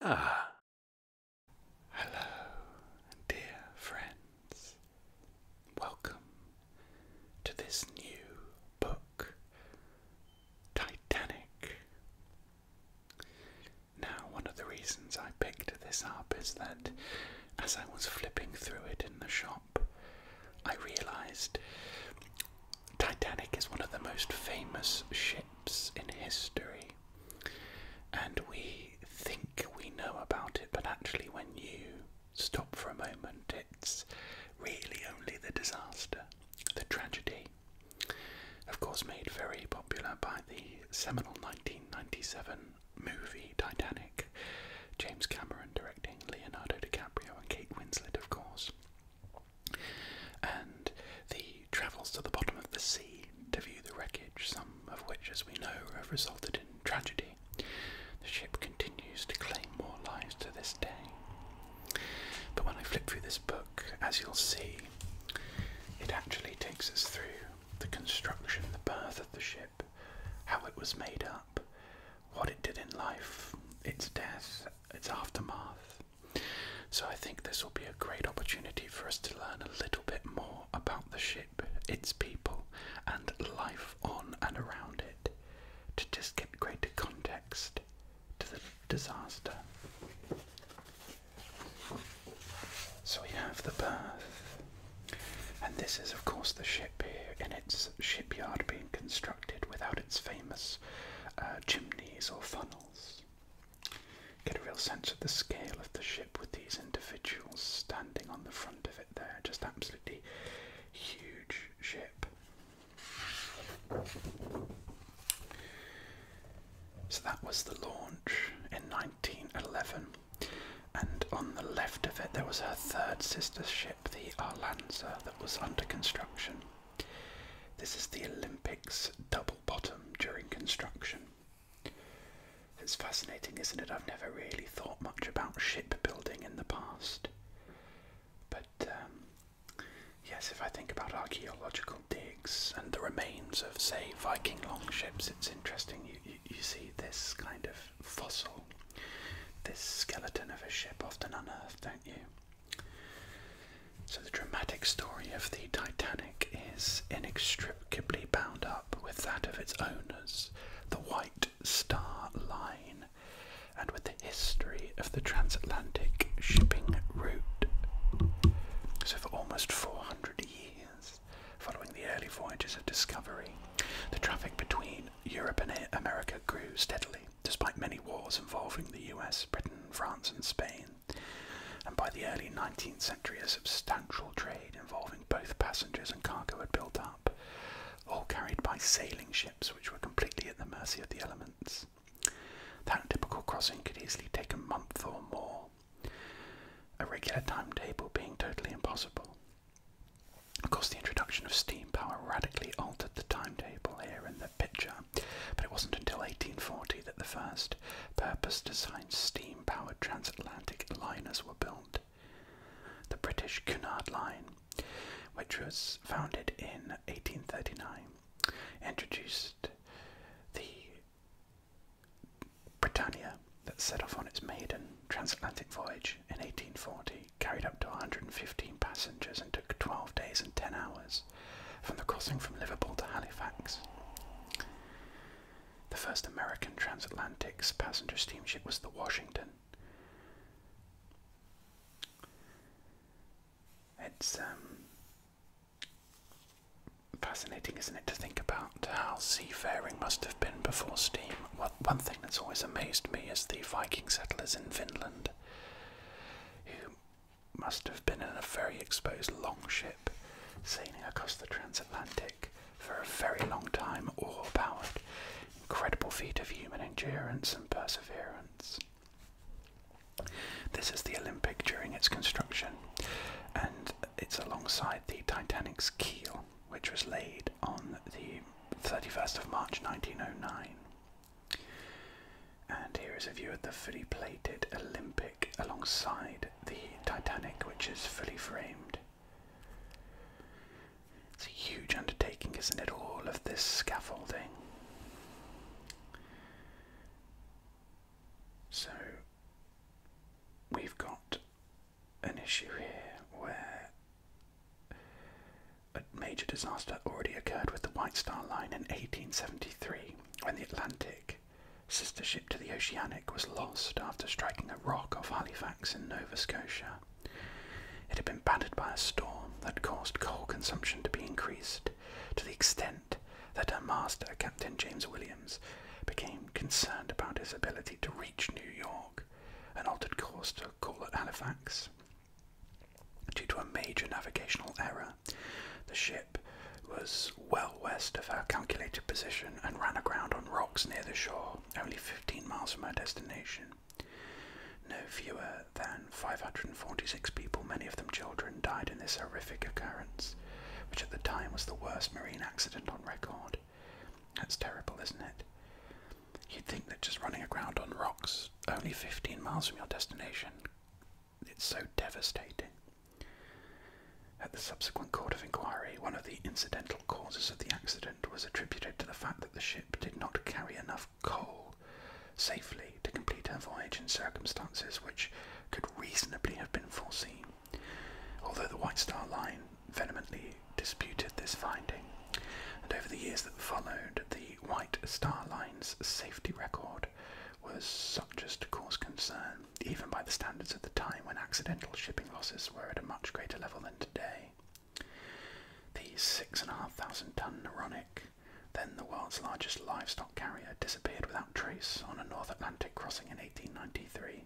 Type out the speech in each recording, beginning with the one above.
Ah. Hello, dear friends. Welcome to this new book, Titanic. Now, one of the reasons I picked this up is that as I was flipping through it in the shop, I realised Titanic is one of the most famous ships in history, and we think we know about it, but actually, when you stop for a moment, it's really only the disaster, the tragedy. Of course, made very popular by the seminal 1997 movie Titanic, James Cameron directing Leonardo DiCaprio and Kate Winslet, of course. And the travels to the bottom of the sea to view the wreckage, some of which, as we know, have resulted in tragedy. The ship continues to claim more lives to this day. But when I flip through this book, as you'll see, it actually takes us through the construction, the birth of the ship, how it was made up, what it did in life, its death, its aftermath, so I think this will be a great opportunity for us to learn a little bit more about the ship, its people, and life on and around it, to just get greater context to the disaster. So we have the berth, and this is, of course, the ship here in its shipyard being constructed without its famous uh, chimneys or funnels. Get a real sense of the scale of the ship with these individuals standing on the front of it there. Just absolutely huge ship. So that was the launch in 1911. And on the left of it, there was her third sister ship, the Arlanza, that was under construction. This is the Olympics double bottom during construction. It's fascinating, isn't it? I've never really thought much about shipbuilding in the past. But um, yes, if I think about archaeological digs and the remains of, say, Viking longships, it's interesting. you see this kind of fossil, this skeleton of a ship often unearthed, don't you? So, the dramatic story of the Titanic is inextricably bound up with that of its owners, the White Star Line, and with the history of the transatlantic shipping route. So, for almost 400 years, following the early voyages of discovery, the traffic between Europe and America grew steadily despite many wars involving the US, Britain, France, and Spain. And by the early 19th century, a substantial trade involving both passengers and cargo had built up, all carried by sailing ships which were completely at the mercy of the elements. That typical crossing could easily take a month or more, a regular timetable being totally impossible. Of course, the introduction of steam power radically altered the timetable here in the picture but it wasn't until 1840 that the first purpose-designed steam-powered transatlantic liners were built. The British Cunard Line, which was founded in 1839, introduced the Britannia that set off on its maiden transatlantic voyage in 1840, carried up to 115 passengers and took 12 days and 10 hours from the crossing from Liverpool to Halifax. The first American transatlantic passenger steamship was the Washington. It's um, fascinating, isn't it, to think about how seafaring must have been before steam. What, one thing that's always amazed me is the Viking settlers in Finland who must have been in a very exposed longship, sailing across the transatlantic for a very long time, oil powered. Incredible feat of human endurance and perseverance. This is the Olympic during its construction, and it's alongside the Titanic's keel, which was laid on the 31st of March 1909. And here is a view of the fully plated Olympic alongside the Titanic, which is fully framed. It's a huge undertaking, isn't it? All of this scaffolding. So we've got an issue here where major disaster already occurred with the White Star Line in 1873 when the Atlantic, sister ship to the Oceanic, was lost after striking a rock off Halifax in Nova Scotia. It had been battered by a storm that caused coal consumption to be increased to the extent that her master, Captain James Williams, became concerned about his ability to reach New York and altered course to call at Halifax. Due to a major navigational error, the ship was well west of her calculated position and ran aground on rocks near the shore, only 15 miles from her destination. No fewer than 546 people, many of them children, died in this horrific occurrence, which at the time was the worst marine accident on record. That's terrible, isn't it? You'd think that just running aground on rocks only 15 miles from your destination it's so devastating. At the subsequent court of inquiry, one of the incidental causes of the accident was attributed to the fact that the ship did not carry enough coal safely to complete her voyage in circumstances which could reasonably have been foreseen. Although the White Star Line vehemently disputed this finding, and over the years that followed, the White Star Line's safety record was such as to cause concern, even by the standards of the time when accidental shipping losses were at a much greater level than today. The 6,500 ton Neronic, then the world's largest livestock carrier, disappeared without trace on a North Atlantic crossing in 1893,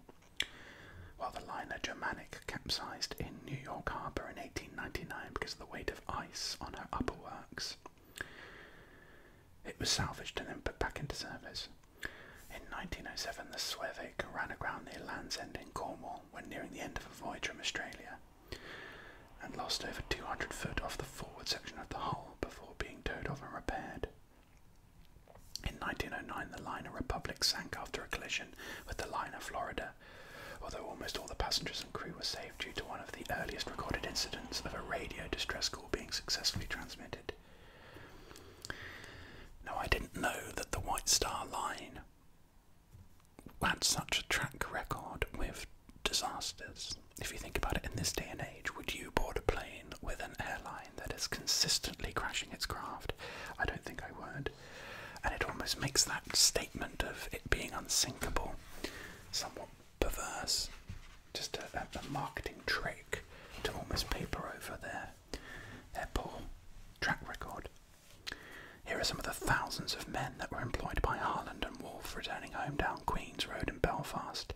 while the liner Germanic capsized in New York Harbor in 1899 because of the weight of ice on her upper works. It was salvaged and then put back into service. In 1907, the Suevic ran aground near Land's End in Cornwall when nearing the end of a voyage from Australia and lost over 200 feet off the forward section of the hull before being towed off and repaired. In 1909, the liner Republic sank after a collision with the liner Florida, although almost all the passengers and crew were saved due to one of the earliest recorded incidents of a radio distress call being successfully transmitted. Now, I didn't know that the White Star Line had such a track record with disasters. If you think about it in this day and age, would you board a plane with an airline that is consistently crashing its craft? I don't think I would. And it almost makes that statement of it being unsinkable somewhat perverse. Just a, marketing trick to almost paper over their, their poor track record. Here are some of the thousands of men that were employed by Harland and Wolff, returning home down Queen's Road in Belfast.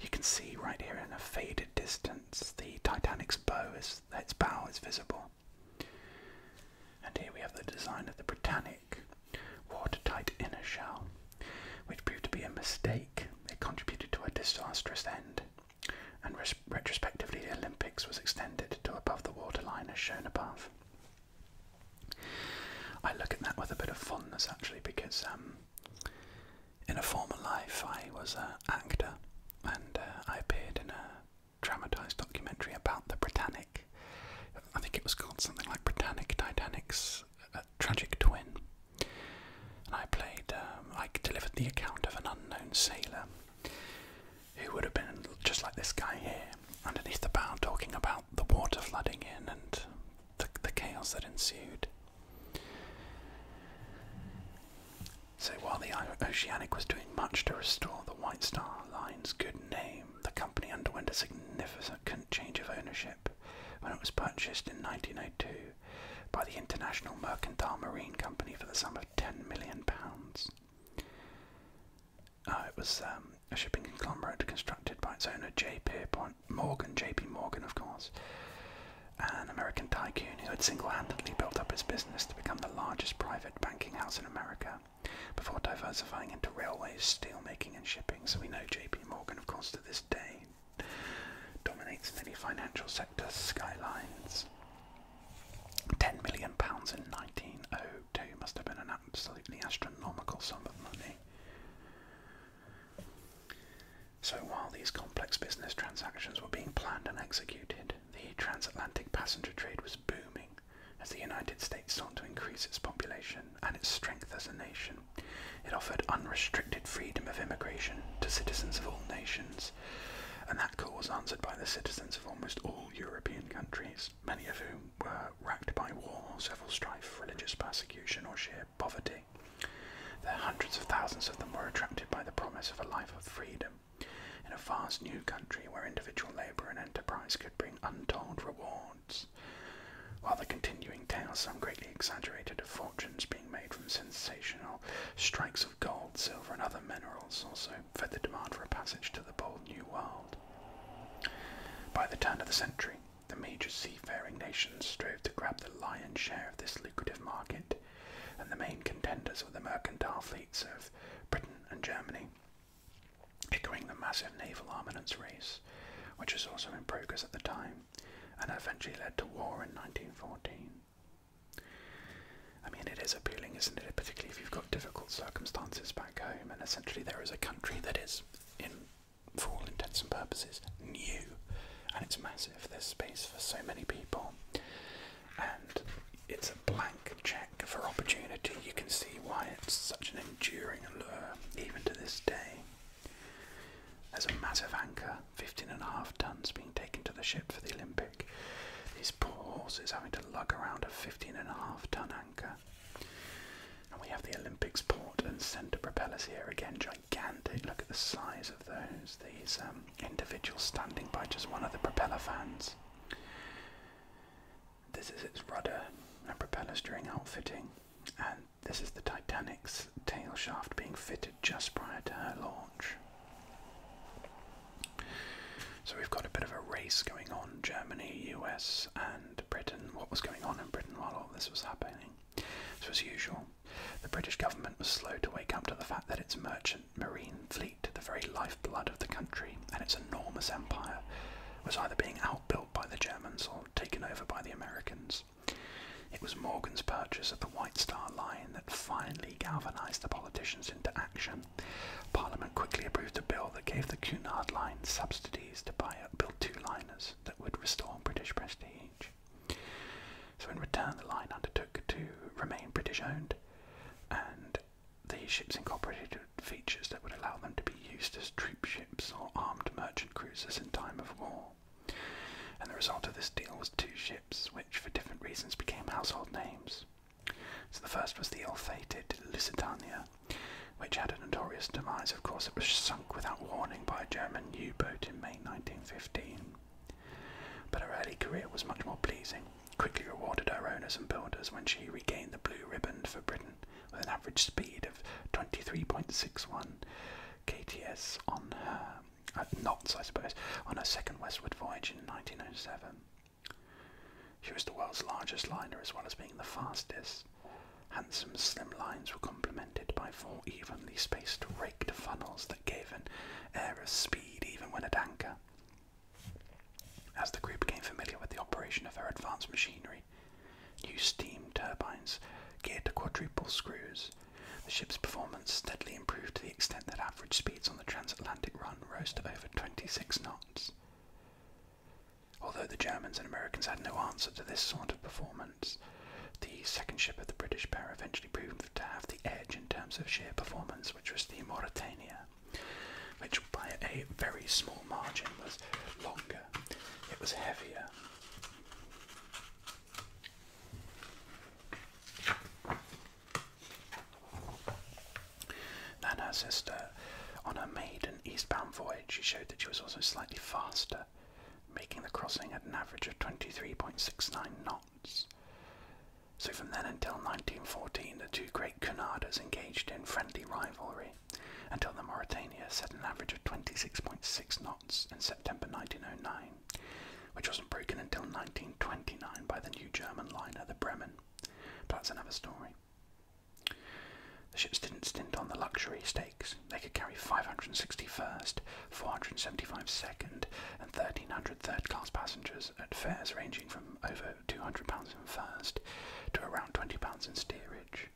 You can see right here in a faded distance the Titanic's bow is its bow is visible. And here we have the design of the Britannia organic, watertight inner shell, which proved to be a mistake. It contributed to a disastrous end, and retrospectively, the Olympics was extended to above the waterline as shown above. I look at that with a bit of fondness actually because um, in a former life I was an actor and uh, I appeared in a dramatised documentary about the Britannic I think it was called something like Britannic Titanic's uh, Tragic Twin. And I played, um, I delivered the account of an unknown sailor who would have been just like this guy here, underneath the bow, talking about the water flooding in and the chaos that ensued. So while the Oceanic was doing much to restore the White Star Line's good name, the company underwent a significant change of ownership when it was purchased in 1902 by the International Mercantile Marine Company for the sum of £10 million. Uh, it was um, a shipping conglomerate constructed by its owner J. Pierpont Morgan, J.P. Morgan, of course, an American tycoon who had single handedly built up his business to become the largest private banking house in America before diversifying into railways, steelmaking, and shipping. So we know JP Morgan, of course, to this day dominates many financial sector skylines. £10 million in 1902 must have been an absolutely astronomical sum of money. So while these complex business transactions were being planned and executed, the transatlantic passenger trade was booming, as the United States sought to increase its population and its strength as a nation, it offered unrestricted freedom of immigration to citizens of all nations, and that call was answered by the citizens of almost all European countries, many of whom were racked by war, civil strife, religious persecution, or sheer poverty. There hundreds of thousands of them were attracted by the promise of a life of freedom in a vast new country where individual labour and enterprise could bring untold reward while the continuing tales, some greatly exaggerated, of fortunes being made from sensational strikes of gold, silver, and other minerals, also fed the demand for a passage to the bold new world. By the turn of the century, the major seafaring nations strove to grab the lion's share of this lucrative market, and the main contenders were the mercantile fleets of Britain and Germany, echoing the massive naval armaments race, which was also in progress at the time and eventually led to war in 1914. I mean, it is appealing, isn't it? Particularly if you've got difficult circumstances back home, and essentially there is a country that is, in for all intents and purposes, new, and it's massive. There's space for so many people, and it's a blank check for opportunity. You can see why it's such an enduring allure, even to this day. There's a massive anchor, 15 and a half tons, being taken to the ship for the Olympic. These poor horses having to lug around a 15 and a half ton anchor. And we have the Olympics port and centre propellers here again, gigantic. Look at the size of those. These um, individuals standing by just one of the propeller fans. This is its rudder and propellers during outfitting, and this is the Titanic's tail shaft being fitted just prior to her launch. So we've got a bit of a race going on Germany, US, and Britain. What was going on in Britain while all this was happening? as usual, the British government was slow to wake up to the fact that its merchant marine fleet, the very lifeblood of the country and its enormous empire, was either being outbuilt by the Germans or taken over by the Americans. It was Morgan's purchase of the White Star Line that finally galvanised the politicians into action. Parliament quickly approved a bill that gave the Cunard Line subsidies to buy up build two liners that would restore British prestige. So, in return, the line undertook to remain British owned, and the ships incorporated features that would allow them to be used as troopships or armed merchant cruisers in time of war. And the result of this deal was two ships, which for different reasons became household names. the first was the ill-fated Lusitania, which had a notorious demise. Of course, it was sunk without warning by a German U-boat in May 1915. But her early career was much more pleasing, quickly rewarded her owners and builders when she regained the blue ribbon for Britain with an average speed of 23.61 kts on uh, knots, I suppose, on her second westward voyage in 1907. She was the world's largest liner as well as being the fastest. Handsome slim lines were complemented by four evenly spaced raked funnels that gave an air of speed even when at anchor. As the crew became familiar with the operation of her advanced machinery, New steam turbines geared to quadruple screws. The ship's performance steadily improved to the extent that average speeds on the transatlantic run rose to over 26 knots. Although the Germans and Americans had no answer to this sort of performance, the second ship of the British pair eventually proved to have the edge in terms of sheer performance, which was the Mauritania, which by a very small margin was longer bigger, it was heavier. Then her sister, on her maiden eastbound voyage, she showed that she was also slightly faster, making the crossing at an average of 23.69 knots. So from then until 1914, the two great Cunarders engaged in friendly rivalry until the Mauritania set an average of 26.6 knots in September 1909, which wasn't broken until 1929 by the new German liner the Bremen. But that's another story. The ships didn't stint on the luxury stakes. They could carry 561st, 475 second, and 1300 third class passengers at fares ranging from over £200 in first to around £20 in steerage.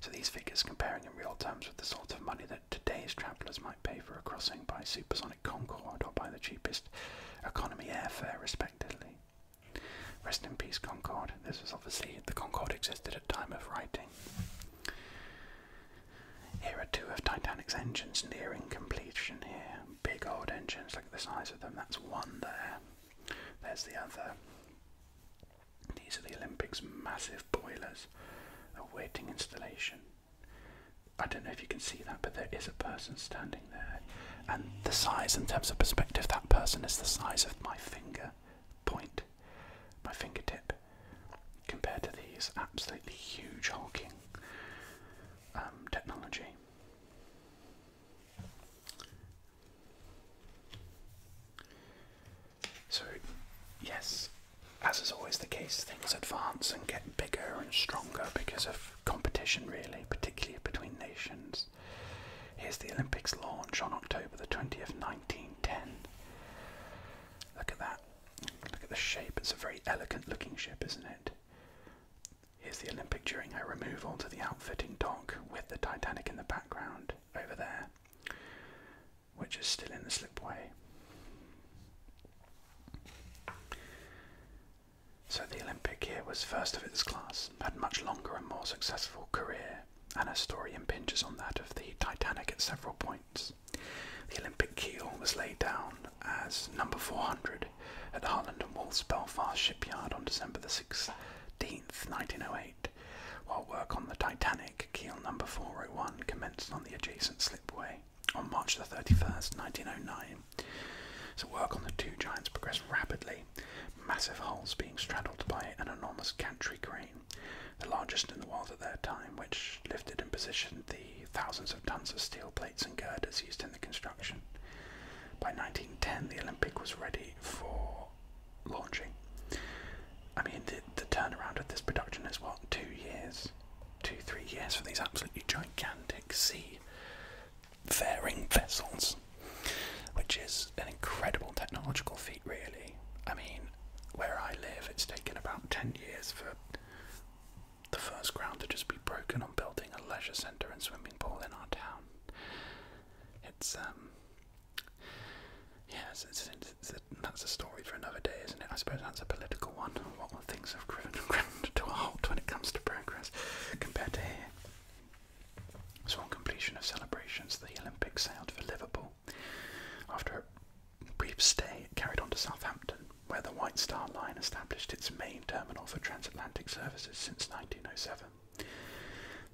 So these figures comparing in real terms with the sort of money that today's travellers might pay for a crossing by supersonic Concorde or by the cheapest economy airfare respectively. Rest in peace Concorde. This was obviously the Concorde existed at time of writing. Here are two of Titanic's engines nearing completion here. Big old engines, look at the size of them. That's one there. There's the other. These are the Olympics' massive boilers awaiting installation. I don't know if you can see that, but there is a person standing there. And the size, in terms of perspective, that person is the size of my finger point, my fingertip, compared to these absolutely huge hulking um, technology. So, yes, as is always the case, things advance and get bigger and stronger because of competition, really, particularly between nations. Here's the Olympics launch on October the 20th, 1910. Look at that. Look at the shape. It's a very elegant looking ship, isn't it? Here's the Olympic during her removal to the outfitting dock with the Titanic in the background over there, which is still in the slipway. So the Olympic here was first of its class, had much longer and more successful career, and her story impinges on that of the Titanic at several points. The Olympic keel was laid down as number 400 at the Harland and Wolff's Belfast shipyard on December the 16th, 1908, while work on the Titanic, keel number 401 commenced on the adjacent slipway on March the 31st, 1909. So work on the two giants progressed rapidly, massive hulls being straddled by an enormous gantry crane, the largest in the world at their time, which lifted and positioned the thousands of tons of steel plates and girders used in the construction. By 1910, the Olympic was ready for launching. I mean, the, the turnaround of this production is what, two years? Two, three years for these absolutely gigantic sea faring vessels, which is an incredible technological feat, really. I mean, where I live, it's taken about 10 years for the first ground to just be broken on building a leisure centre and swimming pool in our town. It's um, yeah, that's a story for another day, isn't it? I suppose that's a political one. What things have driven ground to a halt when it comes to progress compared to here. So completion of celebrations, the Olympics sailed for Liverpool. After a brief stay, carried on to Southampton, where the White Star Line established its main terminal for transatlantic services since 1907.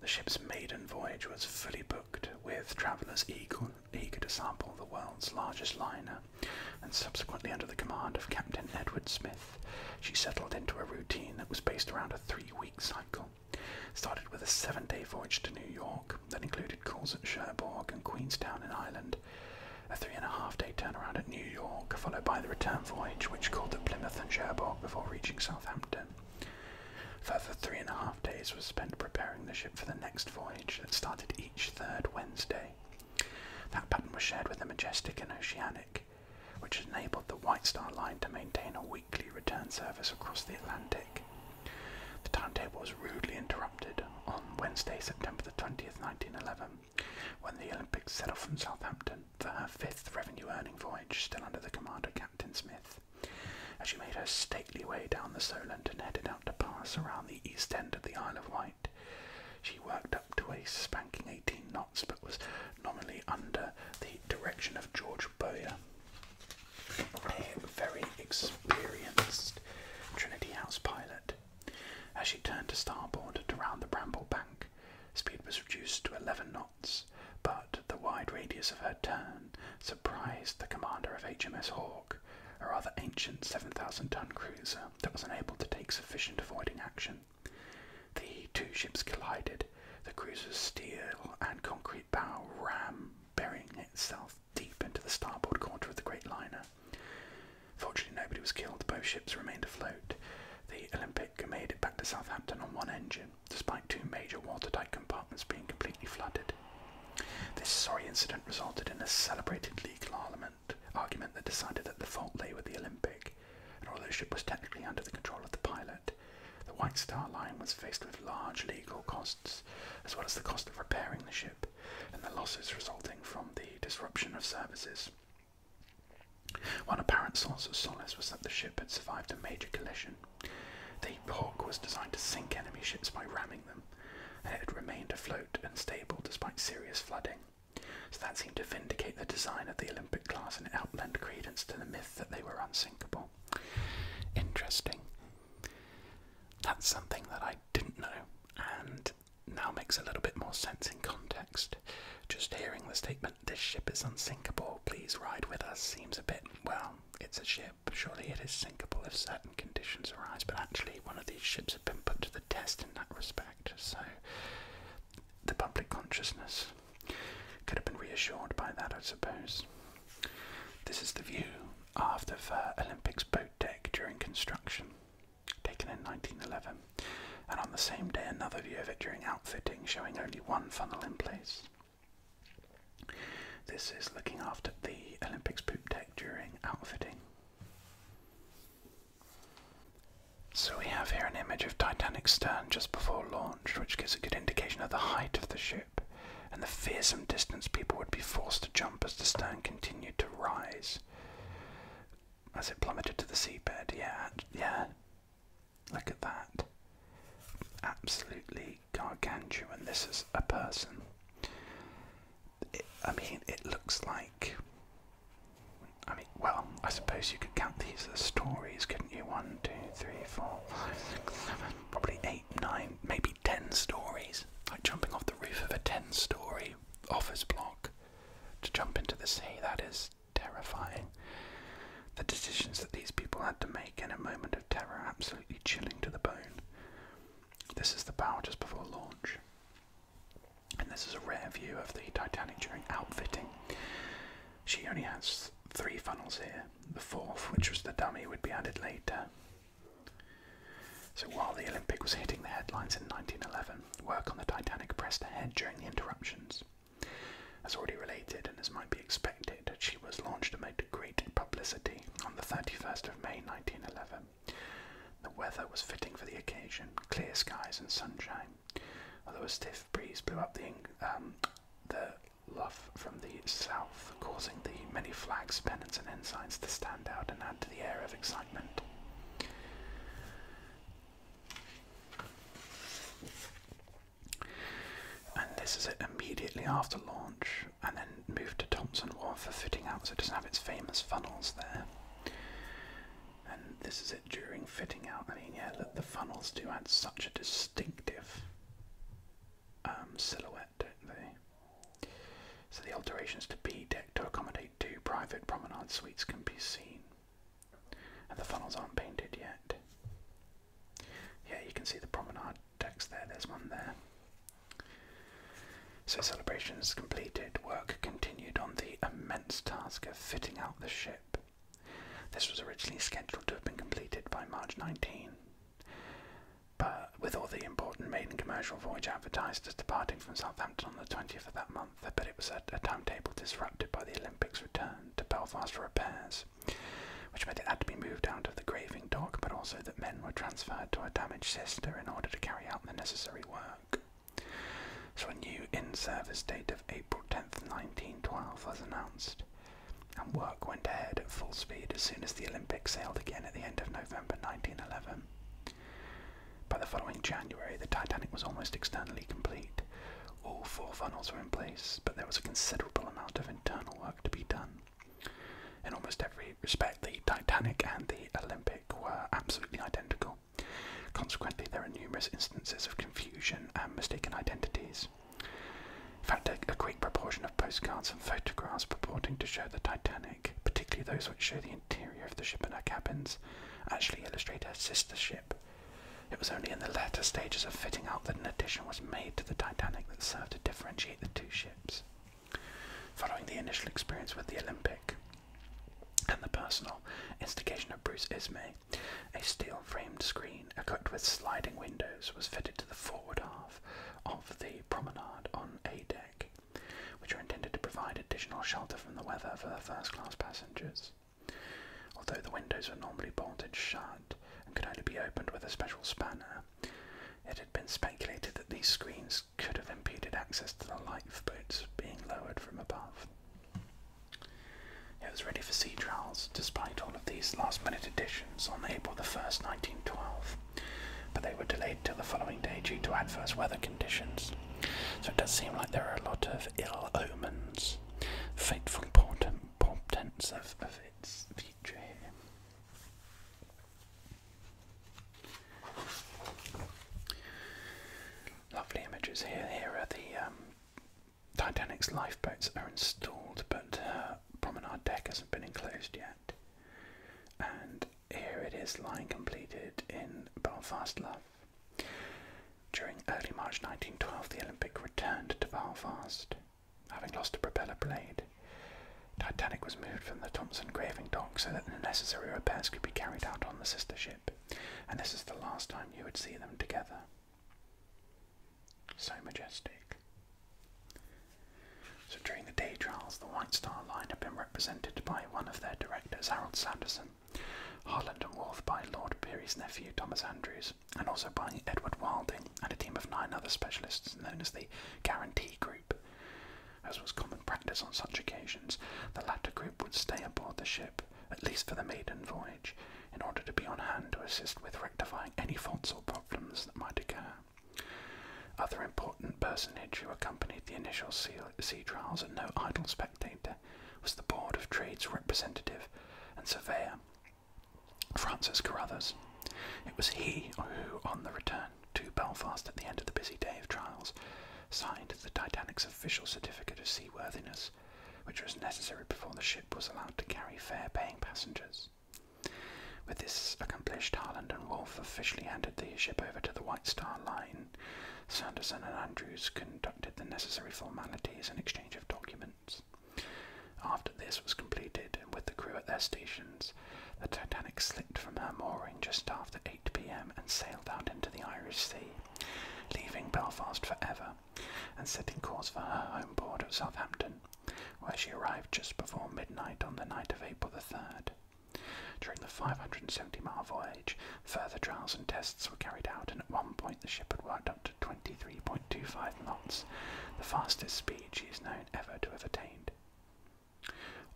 The ship's maiden voyage was fully booked, with travellers eager, to sample the world's largest liner, and subsequently, under the command of Captain Edward Smith, she settled into a routine that was based around a three week cycle. Started with a seven day voyage to New York that included calls at Cherbourg and Queenstown in Ireland, a three and a half day turnaround at New York, followed by the return voyage, which called at Plymouth and Cherbourg before reaching Southampton. Further three and a half days were spent preparing the ship for the next voyage that started each third Wednesday. That pattern was shared with the Majestic and Oceanic, which enabled the White Star Line to maintain a weekly return service across the Atlantic. The timetable was rudely interrupted on Wednesday, September the 20th, 1911, when the Olympic set off from Southampton for her fifth revenue earning voyage, still under the command of Captain Smith. As she made her stately way down the Solent and headed out to pass around the east end of the Isle of Wight, she worked up to a spanking 18 knots but was nominally under the direction of George Bowyer, a very experienced Trinity House pilot. As she turned to starboard and around the Bramble Bank, speed was reduced to 11 knots but the wide radius of her turn surprised the commander of HMS Hawk, a rather ancient 7,000 ton cruiser that was unable to take sufficient avoiding action. The two ships collided, the cruiser's steel and concrete bow ram, burying itself deep into the starboard quarter of the great liner. Fortunately, nobody was killed, both ships remained afloat. The Olympic made it back to Southampton on one engine, despite two major watertight compartments being completely flooded. This sorry incident resulted in a celebrated legal argument, that decided that the fault lay with the Olympic, and although the ship was technically under the control of the pilot, the White Star Line was faced with large legal costs, as well as the cost of repairing the ship and the losses resulting from the disruption of services. One apparent source of solace was that the ship had survived a major collision the Hawk was designed to sink enemy ships by ramming them, and it had remained afloat and stable despite serious flooding. So that seemed to vindicate the design of the Olympic class and it credence to the myth that they were unsinkable. Interesting. That's something that I didn't know and now makes a little bit more sense in context. Just hearing the statement. This ship is unsinkable. Please ride with us. Seems a bit, well, it's a ship. Surely it is sinkable if certain conditions arise, but actually, one of these ships has been put to the test in that respect. So, the public consciousness could have been reassured by that, I suppose. This is the view of the Olympics boat deck during construction, taken in 1911, and on the same day, another view of it during outfitting, showing only one funnel in place. This is looking after the Olympics poop deck during outfitting. So we have here an image of Titanic's stern just before launch, which gives a good indication of the height of the ship and the fearsome distance people would be forced to jump as the stern continued to rise. As it plummeted to the seabed, yeah, yeah. Look at that. Absolutely gargantuan. This is a person. I mean, it looks like. I mean, well, I suppose you could count these as stories, couldn't you? One, two, three, four, five, six, seven, probably eight, nine, maybe ten stories. Like jumping off the roof of a ten story office block to jump into the sea, that is terrifying. The decisions that these people had to make in a moment of terror absolutely chilling to the bone. This is the bow just before launch. And this is a rare view of the Titanic during outfitting. She only has three funnels here. The fourth, which was the dummy, would be added later. So while the Olympic was hitting the headlines in 1911, work on the Titanic pressed ahead during the interruptions. As already related and as might be expected, she was launched amid great publicity on the 31st of May 1911. The weather was fitting for the occasion, clear skies and sunshine, although a stiff breeze blew up the, um, the luff from the south, causing the many flags, pennants and ensigns to stand out and add to the air of excitement. And this is it immediately after launch, and then moved to Thompson Wharf for fitting out, so it doesn't have its famous funnels there. And this is it during fitting out. I mean, yeah, the funnels do add such a distinctive um, silhouette, don't they? So the alterations to B deck to accommodate two private promenade suites can be seen. And the funnels aren't painted yet. Yeah, you can see the promenade decks there, there's one there. So celebrations completed, work continued on the immense task of fitting out the ship. This was originally scheduled to have been completed by March 19, but with all the important maiden commercial voyage advertised as departing from Southampton on the 20th of that month, but it was a timetable disrupted by the Olympics return to Belfast for repairs which meant it had to be moved out of the graving dock, but also that men were transferred to a damaged sister in order to carry out the necessary work. So a new in-service date of April 10th, 1912 was announced, and work went ahead at full speed as soon as the Olympic sailed again at the end of November 1911. By the following January, the Titanic was almost externally complete. All four funnels were in place, but there was a considerable amount of internal work to be done. In almost every respect, the Titanic and the Olympic were absolutely identical. Consequently, there are numerous instances of confusion and mistaken identities. In fact, a, a great proportion of postcards and photographs purporting to show the Titanic, particularly those which show the interior of the ship and her cabins, actually illustrate her sister ship, it was only in the later stages of fitting out that an addition was made to the Titanic that served to differentiate the two ships. Following the initial experience with the Olympic and the personal instigation of Bruce Ismay, a steel framed screen equipped with sliding windows was fitted to the forward half of the promenade on A deck, which were intended to provide additional shelter from the weather for the first class passengers. Although the windows were normally bolted shut, and could only be opened with a special spanner. It had been speculated that these screens could have impeded access to the lifeboats being lowered from above. It was ready for sea trials, despite all of these last-minute additions, on April the 1st, 1912, but they were delayed till the following day due to adverse weather conditions. So it does seem like there are a lot of ill omens, fateful portents of, of its future here. Lovely images here. Here are the um, Titanic's lifeboats are installed, but promenade deck hasn't been enclosed yet. And here it is lying completed in Belfast Love. During early March 1912, the Olympic returned to Belfast having lost a propeller blade. Titanic was moved from the Thompson graving dock so that the necessary repairs could be carried out on the sister ship, and this is the last time you would see them together. So majestic. So during the day trials, the White Star Line had been represented by one of their directors, Harold Sanderson, Harland and Wolff by Lord Peary's nephew, Thomas Andrews, and also by Edward Wilding and a team of nine other specialists known as the Guarantee Group. As was common practice on such occasions, the latter group would stay aboard the ship, at least for the maiden voyage, in order to be on hand to assist with rectifying any faults or problems that might occur. Other important personage who accompanied the initial sea trials and no idle spectator was the Board of Trade's representative and surveyor, Francis Carruthers. It was he who, on the return to Belfast at the end of the busy day of trials, signed the Titanic's official certificate of seaworthiness, which was necessary before the ship was allowed to carry fare-paying passengers. With this accomplished, Harland and Wolff officially handed the ship over to the White Star Line. Sanderson and Andrews conducted the necessary formalities and exchange of documents. After this was completed, and with the crew at their stations, the Titanic slipped from her mooring just after 8 pm and sailed out into the Irish Sea, leaving Belfast forever and setting course for her home port of Southampton, where she arrived just before midnight on the night of April the 3rd. During the 570 mile voyage, further trials and tests were carried out, and at one point the ship had worked up to Twenty-three point two five knots, the fastest speed she is known ever to have attained.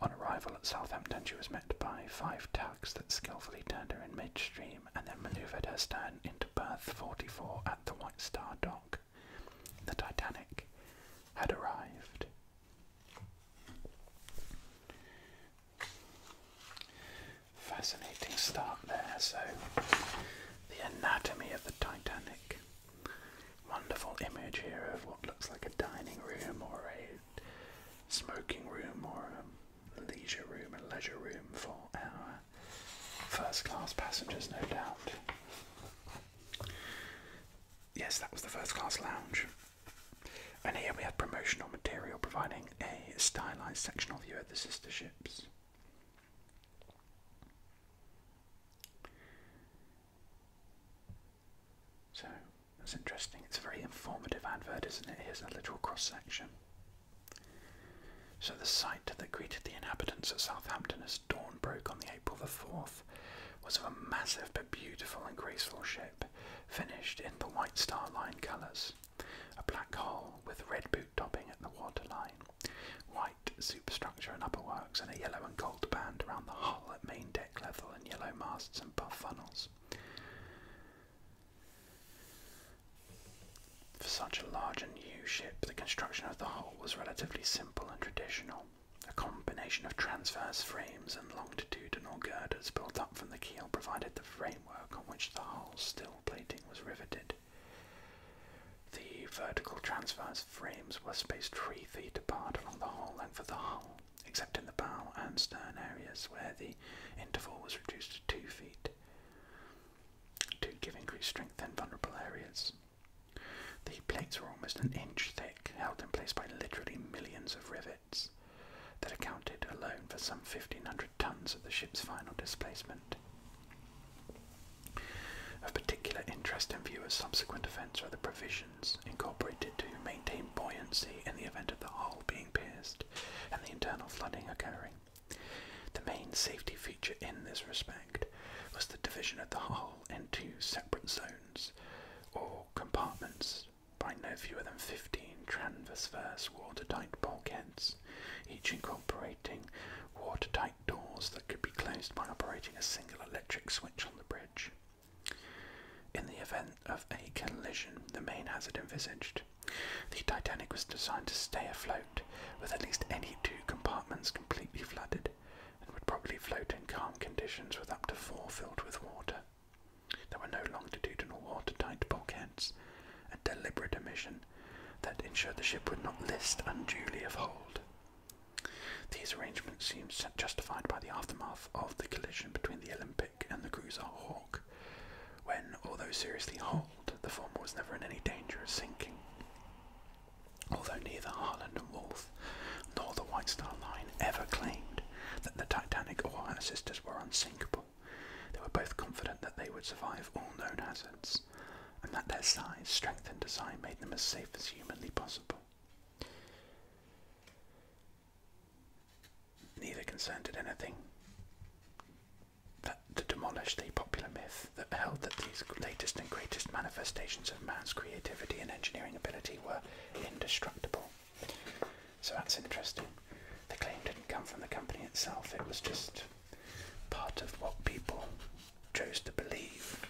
On arrival at Southampton, she was met by five tugs that skillfully turned her in midstream and then manoeuvred her stern into berth 44 at the White Star Dock. The Titanic had arrived. Fascinating start there. So, the anatomy of Titanic. Wonderful image here of what looks like a dining room or a smoking room or a leisure room, a leisure room for our first class passengers, no doubt. Yes, that was the first class lounge. And here we have promotional material providing a stylised sectional view of the sister ships. So that's interesting. It's a very informative advert, isn't it? Here's a literal cross section. So the sight that greeted the inhabitants of Southampton as dawn broke on the April the fourth was of a massive but beautiful and graceful ship, finished in the White Star Line colours. A black hull with red boot topping at the waterline, white superstructure and upper works, and a yellow and gold band around the hull at main deck level, and yellow masts and puff funnels. For such a large and new ship, the construction of the hull was relatively simple and traditional. A combination of transverse frames and longitudinal girders built up from the keel provided the framework on which the hull steel plating was riveted. The vertical transverse frames were spaced three feet apart along the whole length of the hull, except in the bow and stern areas where the interval was reduced to two feet to give increased strength in vulnerable areas. The plates were almost an inch thick, held in place by literally millions of rivets that accounted alone for some 1,500 tons of the ship's final displacement. Of particular interest in viewers' subsequent events are the provisions incorporated to maintain buoyancy in the event of the hull being pierced and the internal flooding occurring. The main safety feature in this respect was the division of the hull into separate zones or compartments by no fewer than 15 transverse water-tight bulkheads, each incorporating operating watertight doors that could be closed by operating a single electric switch on the bridge. In the event of a collision, the main hazard envisaged, the Titanic was designed to stay afloat with at least any two compartments completely flooded and would probably float in calm conditions with up to four filled with water. There were no longitudinal watertight bulkheads, a deliberate omission that ensured the ship would not list unduly of hold. These arrangements seemed justified by the aftermath of the collision between the Olympic and the cruiser Hawk, when, although seriously hulled, the former was never in any danger of sinking. Although neither Harland and Wolff nor the White Star Line ever claimed that the Titanic or her sisters were unsinkable, they were both confident that they would survive all known hazards, and that their size, strength, and design made them as safe as humanly possible. Neither concerned at anything that to demolish the popular myth that held that these latest and greatest manifestations of man's creativity and engineering ability were indestructible. So that's interesting. The claim didn't come from the company itself, it was just part of what people chose to believe.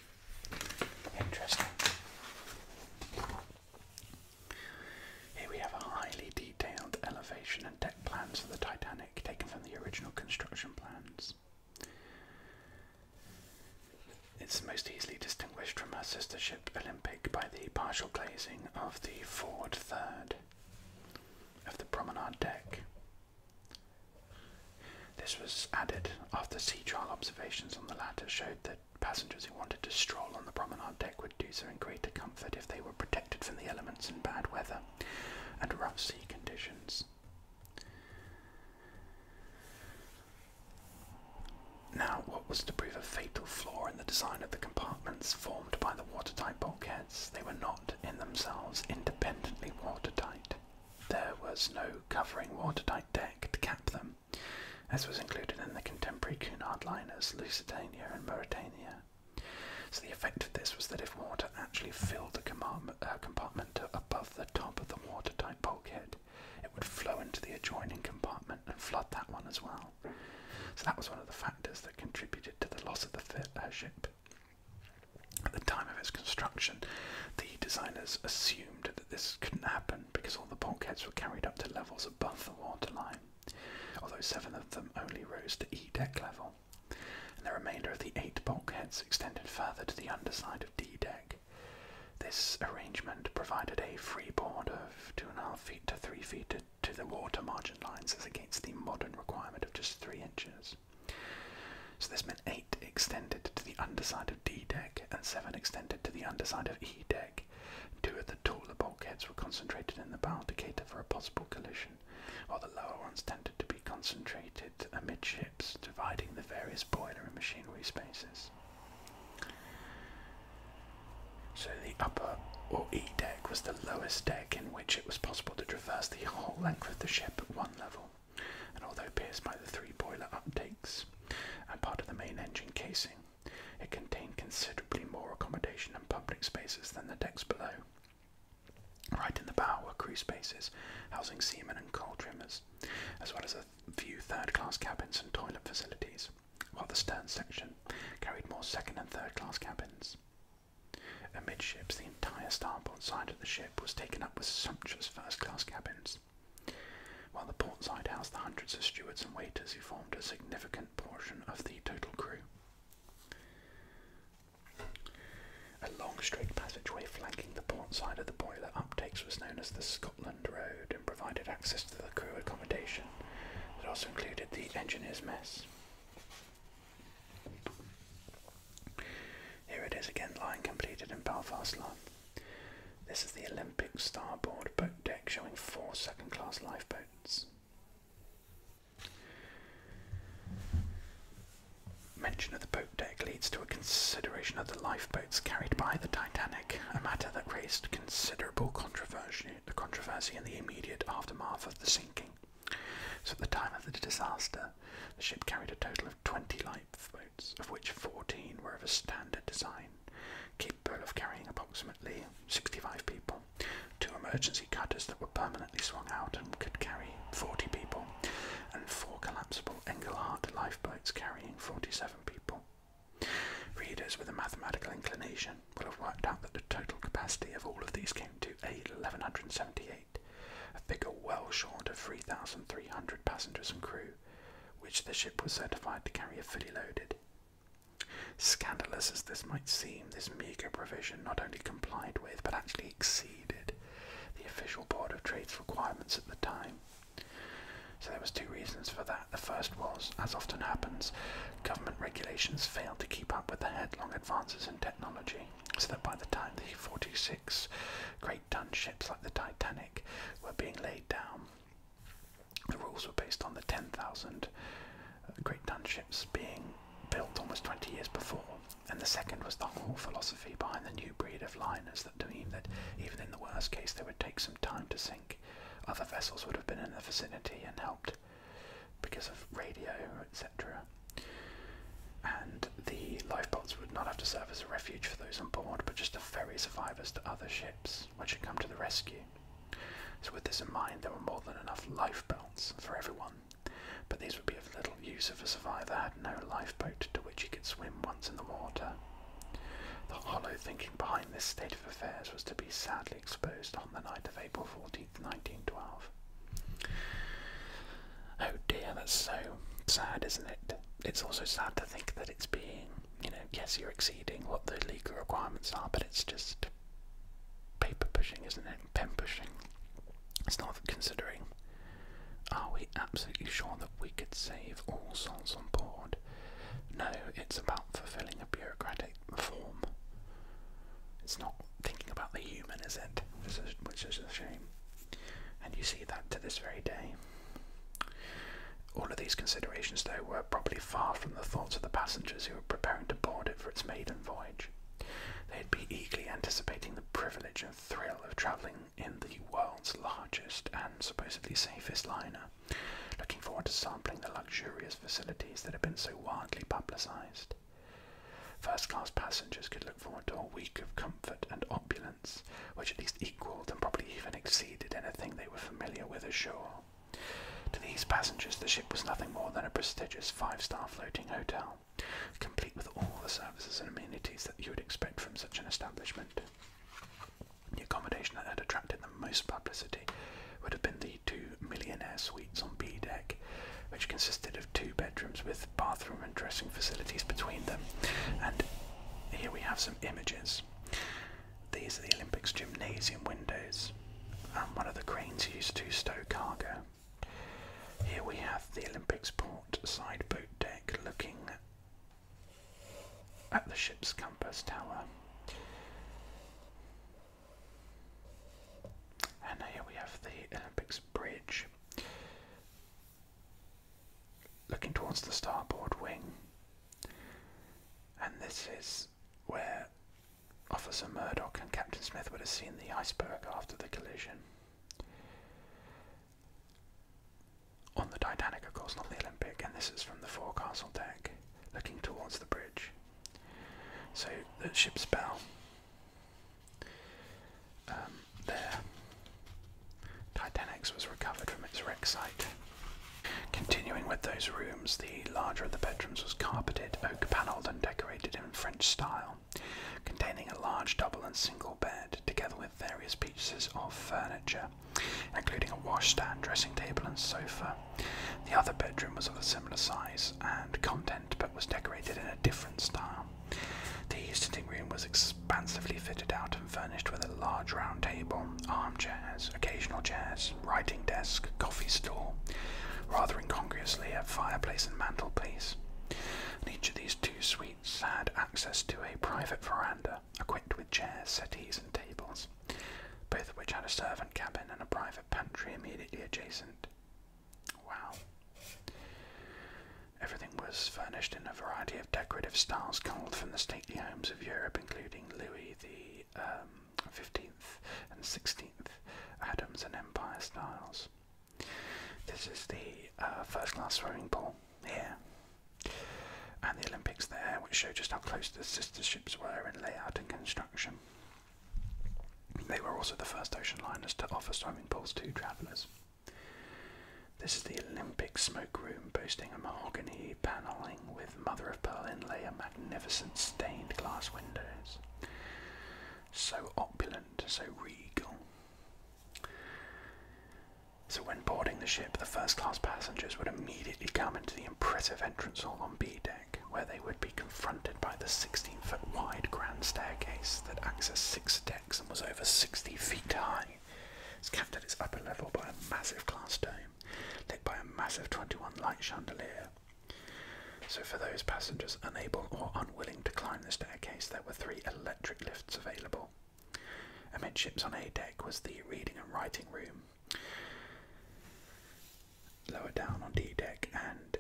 Interesting. Here we have a highly detailed elevation and deck plans for the Titanic taken from the original construction plans. It's most easily distinguished from her sister ship Olympic by the partial glazing of the forward third of the promenade deck. This was added after sea trial observations on the latter showed that passengers who wanted to stroll on the promenade deck would do so in greater comfort if they were protected from the elements in bad weather and rough sea conditions. Now, what was to prove a fatal flaw in the design of the compartments formed by the watertight bulkheads? They were not in themselves independently watertight. There was no covering watertight deck to cap them, as was included in the contemporary Cunard liners Lusitania and Mauritania. So the effect of this was that if water actually filled the uh, compartment above the top of the watertight bulkhead, it would flow into the adjoining compartment and flood that one as well. So that was one of the factors that contributed to the loss of the uh, ship. At the time of its construction, the designers assumed that this couldn't happen because all the bulkheads were carried up to levels above the waterline, although seven of them only rose to E deck level, and the remainder of the eight bulkheads extended further to the underside of D deck. This arrangement provided a freeboard of 2.5 feet to 3 feet to the water margin lines as against the modern requirement of just 3 inches troops. So this meant 8 extended to the underside of D deck and 7 extended to the underside of E deck. Two of the taller bulkheads were concentrated in the bow to cater for a possible collision, while the lower ones tended to be concentrated amidships, dividing the various boiler and machinery spaces. So the upper or E deck was the lowest deck in which it was possible to traverse the whole length of the ship level, and although pierced by the three boiler uptakes and part of the main engine casing, it contained considerably more accommodation and public spaces than the decks below. Right in the bow were crew spaces housing seamen and coal trimmers, as well as a few third class cabins and toilet facilities, while the stern section carried more second and third class cabins. Amidships, the entire starboard side of the ship was taken up with sumptuous first-class cabins, while the port side housed the hundreds of stewards and waiters who formed a significant portion of the total crew. A long straight passageway flanking the port side of the boiler uptakes was known as the Scotland Road and provided access to the crew accommodation It also included the engineer's mess. Here it is again, Line completed in Belfast Lough. This is the Olympic starboard boat deck showing four second class lifeboats. Mention of the boat deck leads to a consideration of the lifeboats carried by the Titanic, a matter that raised considerable controversy, the controversy in the immediate aftermath of the sinking. So at the time of the disaster, the ship carried a total of 20 lifeboats, of which 14 were of a standard design, capable of carrying approximately 65 people, two emergency cutters that were permanently swung out and could carry 40 people, and four collapsible Engelhard lifeboats carrying 47 people. Readers with a mathematical inclination will have worked out that the total capacity of all of these came to 1178 a figure well short of 3,300 passengers and crew, which the ship was certified to carry if fully loaded. Scandalous as this might seem, this meagre provision not only complied with but actually exceeded the official Board of Trade's requirements at the time. So there was two reasons for that. The first was, as often happens, government regulations failed to keep up with the headlong advances in technology so that by the time the 46 great ton ships like the Titanic were being laid down, the rules were based on the 10,000 uh, great ton ships being built almost 20 years before. And the second was the whole philosophy behind the new breed of liners that mean that even in the worst case they would take some time to sink. Other vessels would have been in the vicinity and helped. Because of radio, etc., and the lifeboats would not have to serve as a refuge for those on board, but just to ferry survivors to other ships which would come to the rescue. So, with this in mind, there were more than enough lifeboats for everyone, but these would be of little use if a survivor had no lifeboat to which he could swim once in the water. The hollow thinking behind this state of affairs was to be sadly exposed on the night of April 14, 1912. Oh dear, that's so sad, isn't it? It's also sad to think that it's being, you know, yes, you're exceeding what the legal requirements are, but it's just paper pushing, isn't it? Pen pushing. It's not considering. Are we absolutely sure that we could save all souls on board? No, it's about fulfilling a bureaucratic form. It's not thinking about the human, is it? which is a shame. And you see that to this very day. All of these considerations, though, were probably far from the thoughts of the passengers who were preparing to board it for its maiden voyage. They'd be eagerly anticipating the privilege and thrill of travelling in the world's largest and supposedly safest liner, looking forward to sampling the luxurious facilities that had been so widely publicised. First class passengers could look forward to a week of comfort and opulence, which at least equalled and probably even exceeded anything they were familiar with ashore. To these passengers, the ship was nothing more than a prestigious five star floating hotel, complete with all the services and amenities that you would expect from such an establishment. The accommodation that had attracted the most publicity would have been the two millionaire suites on B deck, which consisted of two bedrooms with bathroom and dressing facilities between them. And here we have some images. These are the Olympics gymnasium windows, and one of the cranes used to stow cargo. Here we have the Olympics port side boat deck looking at the ship's compass tower. And here we have the Olympics bridge Looking towards the starboard wing, and this is where Officer Murdoch and Captain Smith would have seen the iceberg after the collision. On the Titanic, of course, not the Olympic, and this is from the forecastle deck looking towards the bridge. So the ship's bow um, there. was recovered from its wreck site. Continuing with those rooms, the larger of the bedrooms was carpeted, oak panelled, and decorated in French style, containing a large double and single bed, together with various pieces of furniture, including a washstand, dressing table, and sofa. The other bedroom was of a similar size and content, but was decorated in a different style. The sitting room was expansively fitted out and furnished with a large round table, armchairs, occasional chairs, writing desk, coffee stool, rather incongruously a fireplace and mantelpiece. And each of these two suites had access to a private veranda, equipped with chairs, settees, and tables, both of which had a servant cabin and a private pantry immediately adjacent. Wow. Everything was furnished in a variety of decorative styles culled from the stately homes of Europe, including Louis the 15th um, and 16th, Adams and Empire styles. This is the uh, first class swimming pool here, and the Olympics there, which show just how close the sister ships were in layout and construction. They were also the first ocean liners to offer swimming pools to travellers. This is the Olympic smoke room, boasting a mahogany paneling with mother of pearl inlay and magnificent stained glass windows. So opulent, so regal. So, when boarding the ship, the first class passengers would immediately come into the impressive entrance hall on B deck, where they would be confronted by the sixteen foot wide grand staircase that accessed six decks and was over 60 feet high. It was capped at its upper level by a massive glass dome, lit by a massive 21 light chandelier. So, for those passengers unable or unwilling to climb the staircase, there were three electric lifts available. Amidships on A deck was the reading and writing room. Lower down on D deck and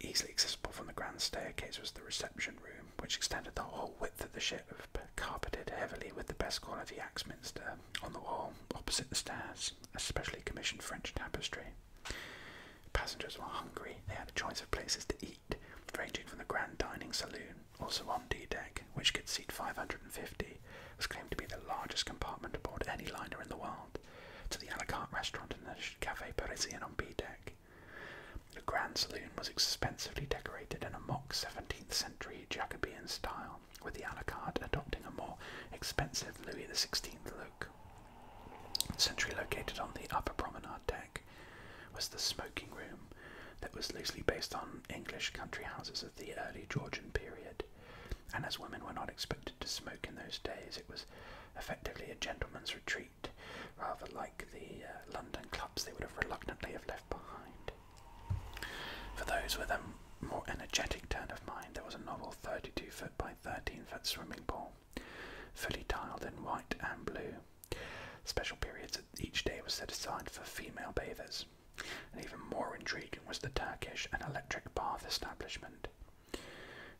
Easily accessible from the grand staircase was the reception room, which extended the whole width of the ship, carpeted heavily with the best quality Axminster. On the wall, opposite the stairs, a specially commissioned French tapestry. Passengers were hungry. They had a choice of places to eat, ranging from the grand dining saloon, also on D deck, which could seat 550, was claimed to be the largest compartment aboard any liner in the world, to the a la carte restaurant in the Café Parisien on B deck. The grand saloon was expensively decorated in a mock 17th century Jacobean style, with the a la carte adopting a more expensive Louis XVI look. Centrally located on the upper promenade deck was the smoking room that was loosely based on English country houses of the early Georgian period. And as women were not expected to smoke in those days, it was effectively a gentleman's retreat rather like the uh, London clubs they would have reluctantly have left behind. For those with a more energetic turn of mind, there was a novel 32 foot by 13 foot swimming pool, fully tiled in white and blue. Special periods each day were set aside for female bathers, and even more intriguing was the Turkish and electric bath establishment,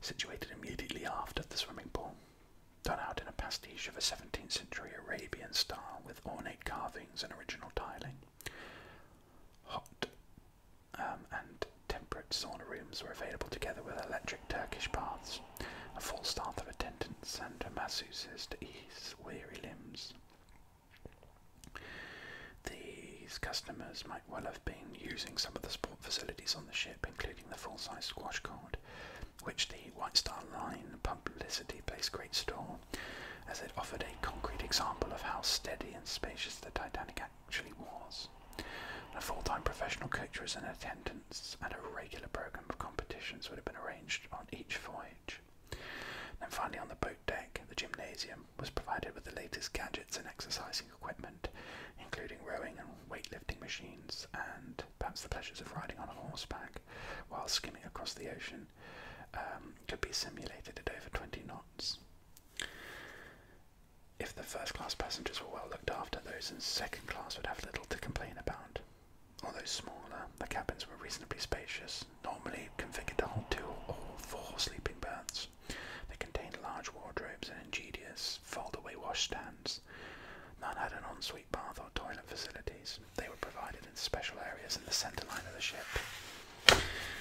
situated immediately after the swimming pool done out in a pastiche of a 17th century Arabian style with ornate carvings and original tiling. Hot um, and temperate sauna rooms were available together with electric Turkish baths, a full staff of attendants and masseuses to ease weary limbs. These customers might well have been using some of the sport facilities on the ship, including the full-size squash court, which the White Star Line publicity placed great store, as it offered a concrete example of how steady and spacious the Titanic actually was. a full-time professional coach was in attendance, and a regular program of competitions would have been arranged on each voyage. And finally, on the boat deck, the gymnasium was provided with the latest gadgets and exercising equipment including rowing and weightlifting machines, and perhaps the pleasures of riding on horseback while skimming across the ocean um, could be simulated at over 20 knots. If the first class passengers were well looked after, those in second class would have little to complain about. Although smaller, the cabins were reasonably spacious, normally configured to hold two or four sleeping berths. They contained large wardrobes and ingenious fold-away washstands None had an ensuite bath or toilet facilities. They were provided in special areas in the centre line of the ship.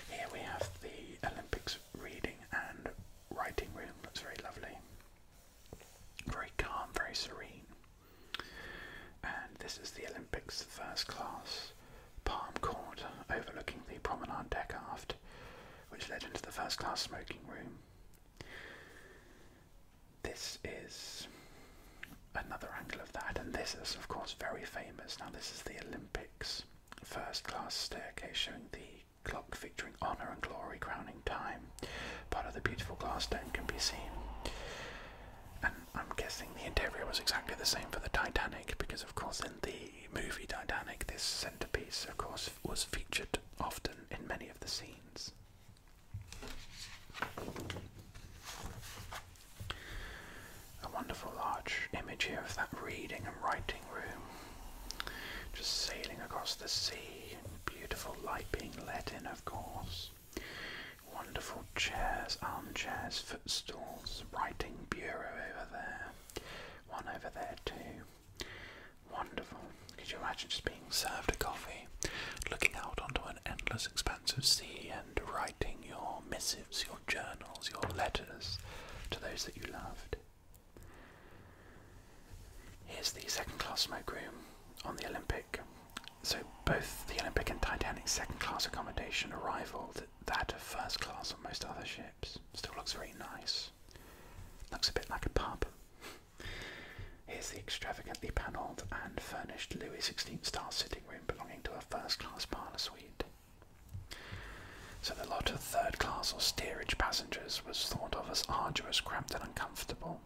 Here we have the Olympics reading and writing room. That's very lovely. Very calm, very serene. And this is the Olympics first class palm court overlooking the promenade deck aft, which led into the first class smoking room. This is another angle of that, and this is, of course, very famous. Now, this is the Olympics first class staircase showing the clock featuring honor and glory crowning time. Part of the beautiful glass dome can be seen. And I'm guessing the interior was exactly the same for the Titanic because, of course, in the movie Titanic, this centerpiece, of course, was featured often in many of the scenes. A wonderful large image here of that reading and writing room. Just sailing across the sea, beautiful light being let in, of course. Wonderful chairs, armchairs, footstools, writing bureau over there. One over there, too. Wonderful. Could you imagine just being served a coffee, looking out onto an endless expanse of sea and writing your missives, your journals, your letters to those that you loved? Here's the second class smoke room on the Olympic. So both the Olympic and Titanic second class accommodation rivaled that of first class on most other ships. Still looks very nice. Looks a bit like a pub. Here's the extravagantly panelled and furnished Louis XVI style sitting room belonging to a first class parlour suite. So the lot of third class or steerage passengers was thought of as arduous, cramped, and uncomfortable.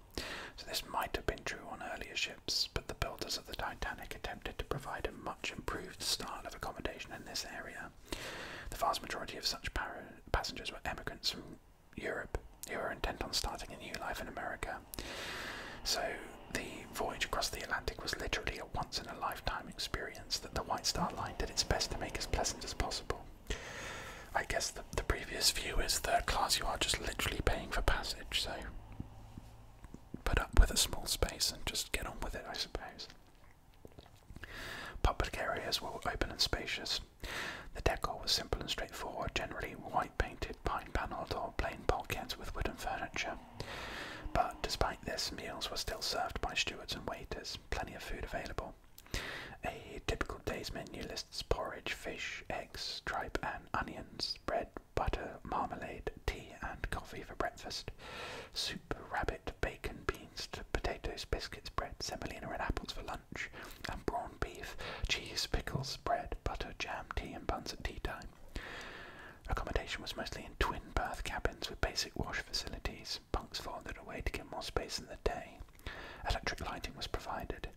So this might have been true on earlier ships, but the builders of the Titanic attempted to provide a much improved style of accommodation in this area. The vast majority of such passengers were emigrants from Europe, You were intent on starting a new life in America. So the voyage across the Atlantic was literally a once in a lifetime experience that the White Star Line did its best to make as pleasant as possible. I guess the, previous view is third class, you are just literally paying for passage, so put up with a small space and just get on with it, I suppose. Public areas were open and spacious, the decor was simple and straightforward, generally white painted, pine panelled, or plain bulkheads with wooden furniture. But despite this, meals were still served by stewards and waiters, plenty of food available. A typical day's menu lists porridge, fish, eggs, tripe and onions, bread, butter, marmalade, tea and coffee for breakfast, soup, rabbit, bacon, beans, potatoes, biscuits, bread, semolina and apples for lunch and brawn beef, cheese, pickles, bread, butter, jam, tea, and buns at tea time. Accommodation was mostly in twin berth cabins with basic wash facilities. Bunks folded away to give more space in the day. Electric lighting was provided.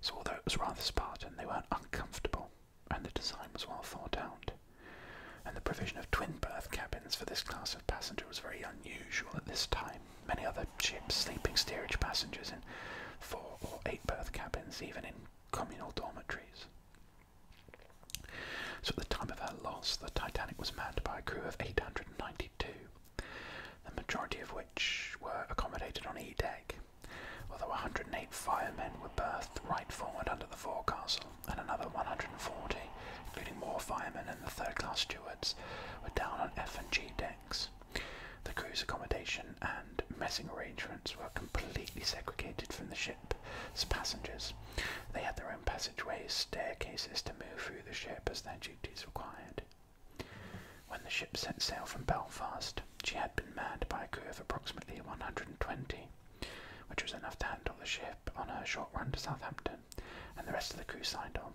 So, although it was rather Spartan, they weren't uncomfortable, and the design was well thought out. And the provision of twin berth cabins for this class of passenger was very unusual at this time. Many other ships sleeping steerage passengers in four or eight berth cabins, even in communal dormitories. So at the time of her loss, the Titanic was manned by a crew of 892, the majority of which were accommodated on E deck, although 108 firemen were berthed right forward under the forecastle, and another 140, including more firemen and the third class stewards, were down on F and G deck. The crew's accommodation and messing arrangements were completely segregated from the ship's passengers. They had their own passageways, staircases to move through the ship as their duties required. When the ship set sail from Belfast, she had been manned by a crew of approximately 120, which was enough to handle the ship on her short run to Southampton, and the rest of the crew signed on.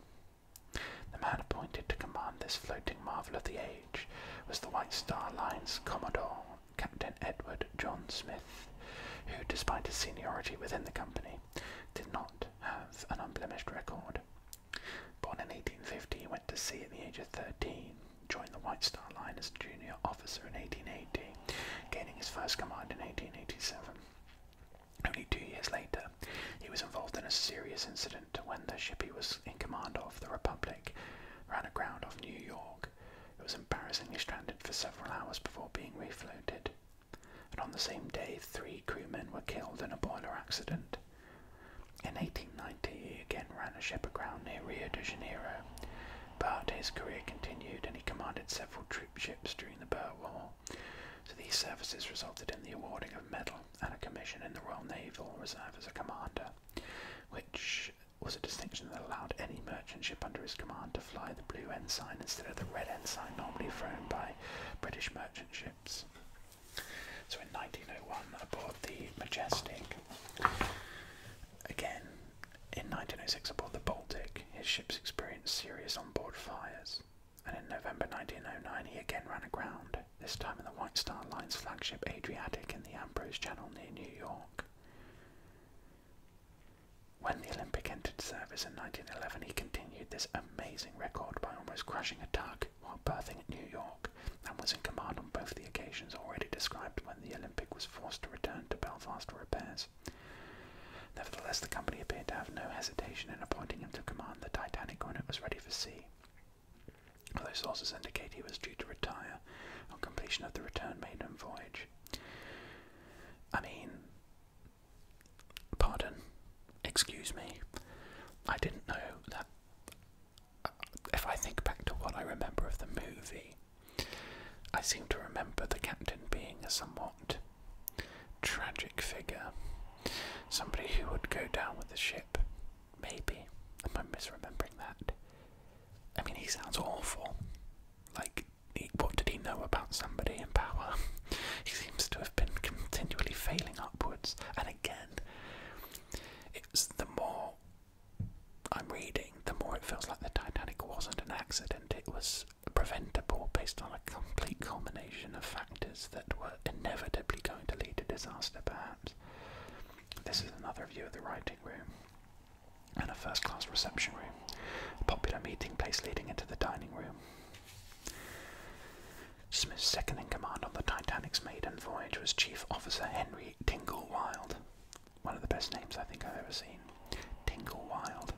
The man appointed to command this floating marvel of the age was the White Star Line's Commodore, Captain Edward John Smith, who, despite his seniority within the company, did not have an unblemished record. Born in 1850, he went to sea at the age of 13, joined the White Star Line as a junior officer in 1880, gaining his first command in 1887. Only two years later, he was involved in a serious incident when the ship he was in command of, the Republic, ran aground off New York. It was embarrassingly stranded for several hours before being refloated. And on the same day, three crewmen were killed in a boiler accident. In 1890, he again ran a ship aground near Rio de Janeiro, but his career continued and he commanded several troop ships during the Boer War. So these services resulted in the awarding of a medal and a commission in the Royal Naval Reserve as a commander, which was a distinction that allowed any merchant ship under his command to fly the blue ensign instead of the red ensign normally flown by British merchant ships. So in 1901, aboard the Majestic, again in 1906, aboard the Baltic, his ships experienced serious onboard fires and in November 1909 he again ran aground, this time in the White Star Line's flagship Adriatic in the Ambrose Channel near New York. When the Olympic entered service in 1911, he continued this amazing record by almost crushing a tug while berthing at New York and was in command on both the occasions already described when the Olympic was forced to return to Belfast for repairs. Nevertheless, the company appeared to have no hesitation in appointing to command the Titanic when it was ready for sea. Although sources indicate he was due to retire on completion of the return maiden voyage. I mean, pardon, excuse me, I didn't know that. Uh, if I think back to what I remember of the movie, I seem to remember the captain being a somewhat tragic figure. Somebody who would go down with the ship. Maybe. Am I misremembering that? I mean, he sounds awful. Like, what did he know about somebody in power? he seems to have been continually failing upwards. And again, it's the more I'm reading, the more it feels like the Titanic wasn't an accident. It was preventable based on complete combination of factors that were inevitably going to lead to disaster, perhaps. This is another view of the writing room and a first class reception room, a popular meeting place leading into the dining room. Smith's second in command on the Titanic's maiden voyage was Chief Officer Henry Tingle Wild. One of the best names I think I've ever seen. Tingle Wild.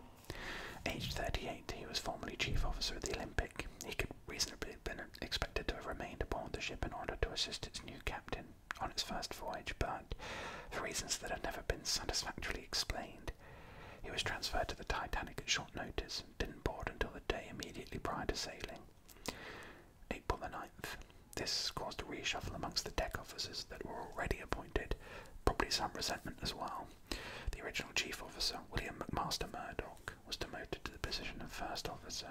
Aged 38, he was formerly Chief Officer of the Olympic. He could reasonably been expected to have remained aboard the ship in order to assist its new captain on its first voyage, but for reasons that have never been satisfactorily explained, he was transferred to the Titanic at short notice and didn't board until the day immediately prior to sailing. April the 9th. This caused a reshuffle amongst the deck officers that were already appointed, probably some resentment as well. The original chief officer, William McMaster Murdoch, was demoted to the position of first officer.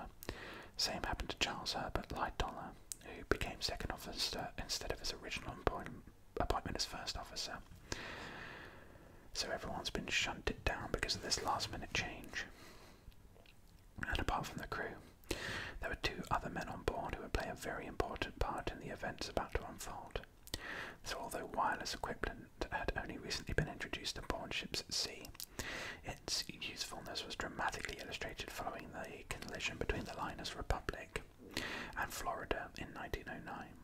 Same happened to Charles Herbert Lightoller, who became second officer instead of his original appointment as first officer. So everyone's been shunted down because of this last minute change. And apart from the crew, there were two other men on board who would play a very important part in the events about to unfold. So, although wireless equipment had only recently been introduced to board ships at sea, its usefulness was dramatically illustrated following the collision between the liners Republic and Florida in 1909.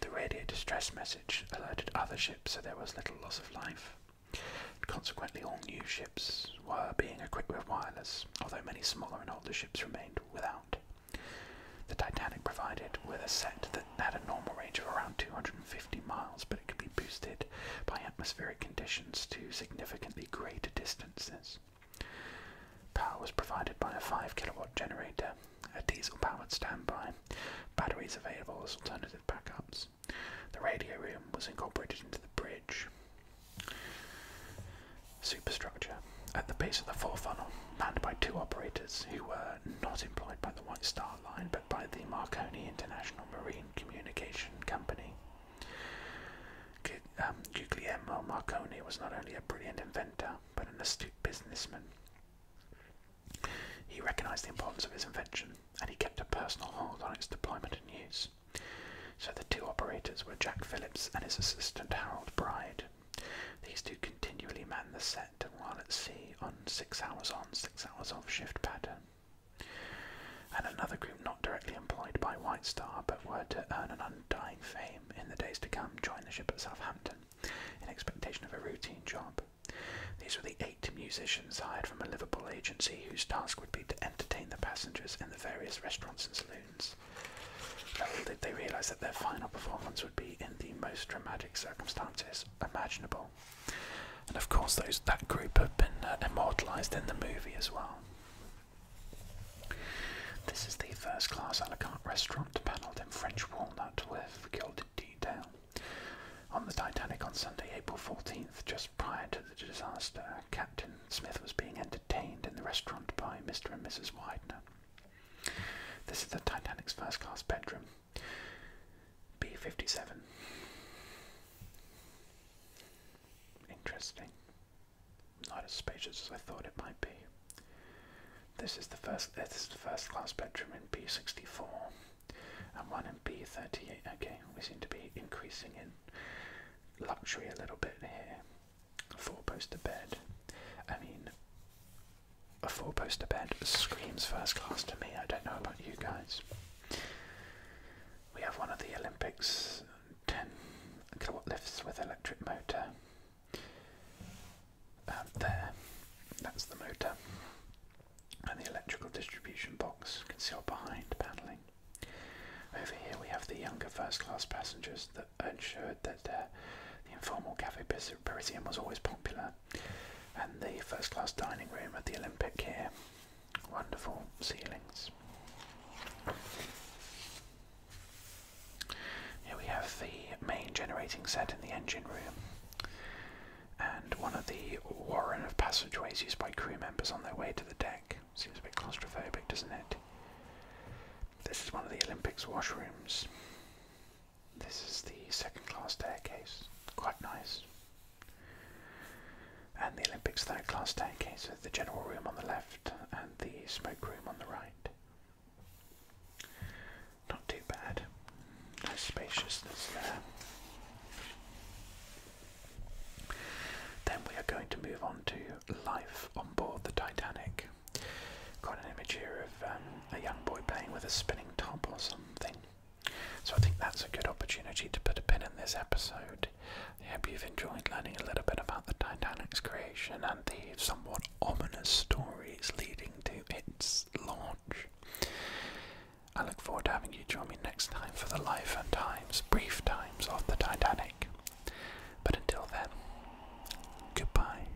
The radio distress message alerted other ships, so there was little loss of life. Consequently, all new ships were being equipped with wireless, although many smaller and older ships remained without. The Titanic provided with a set that had a normal range of around 250 miles, but it could be boosted by atmospheric conditions to significantly greater distances. Power was provided by a 5 kilowatt generator, a diesel powered standby, batteries available as alternative backups. The radio room was incorporated into the bridge. Superstructure. At the base of the fore funnel, manned by two operators who were not employed by the White Star Line but by the Marconi International Marine Communication Company. Um, Marconi was not only a brilliant inventor but an astute businessman. He recognised the importance of his invention and he kept a personal hold on its deployment and use. So the two operators were Jack Phillips and his assistant Harold Bride, these two continually man the set while at sea on six hours on, six hours off shift pattern. And another group not directly employed by White Star but were to earn an undying fame in the days to come joined the ship at Southampton in expectation of a routine job. These were the eight musicians hired from a Liverpool agency whose task would be to entertain the passengers in the various restaurants and saloons. Little did they realise that their final performance would be in the most dramatic circumstances, imaginable. And of course, those that group have been uh, immortalised in the movie as well. This is the first class a la carte restaurant panelled in French walnut with gilded detail. On the Titanic on Sunday, April 14th, just prior to the disaster, Captain Smith was being entertained in the restaurant by Mr. and Mrs. Widener. This is the Titanic's first class bedroom. B fifty seven. Interesting. Not as spacious as I thought it might be. This is the first. This is the first class bedroom in B sixty four, and one in B thirty eight. Okay, we seem to be increasing in luxury a little bit here. Four poster bed. I mean, a four poster bed screams first class to me. I don't know about you guys. We have one of the Olympics 10 kilowatt lifts with electric motor. Um, there, that's the motor. And the electrical distribution box concealed behind panelling. Over here we have the younger first class passengers that ensured that uh, the informal Cafe Parisian was always popular and the first class dining room of the Olympic here. Wonderful ceilings. Here we have the main generating set in the engine room, and one of the warren of passageways used by crew members on their way to the deck. Seems a bit claustrophobic, doesn't it? This is one of the Olympics washrooms. This is the second class staircase, quite nice. And the Olympics third class staircase with the general room on the left and the smoke room on the right. Not too bad. Nice spaciousness there. Then we are going to move on to life on board the Titanic. Got an image here of um, a young boy playing with a spinning top or something. So I think that's a good opportunity to put a pin in this episode. I hope you've enjoyed learning a little bit about the Titanic's creation and the somewhat ominous stories leading to its launch. I look forward to having you join me next time for the life and times, brief times of the Titanic. But until then, goodbye.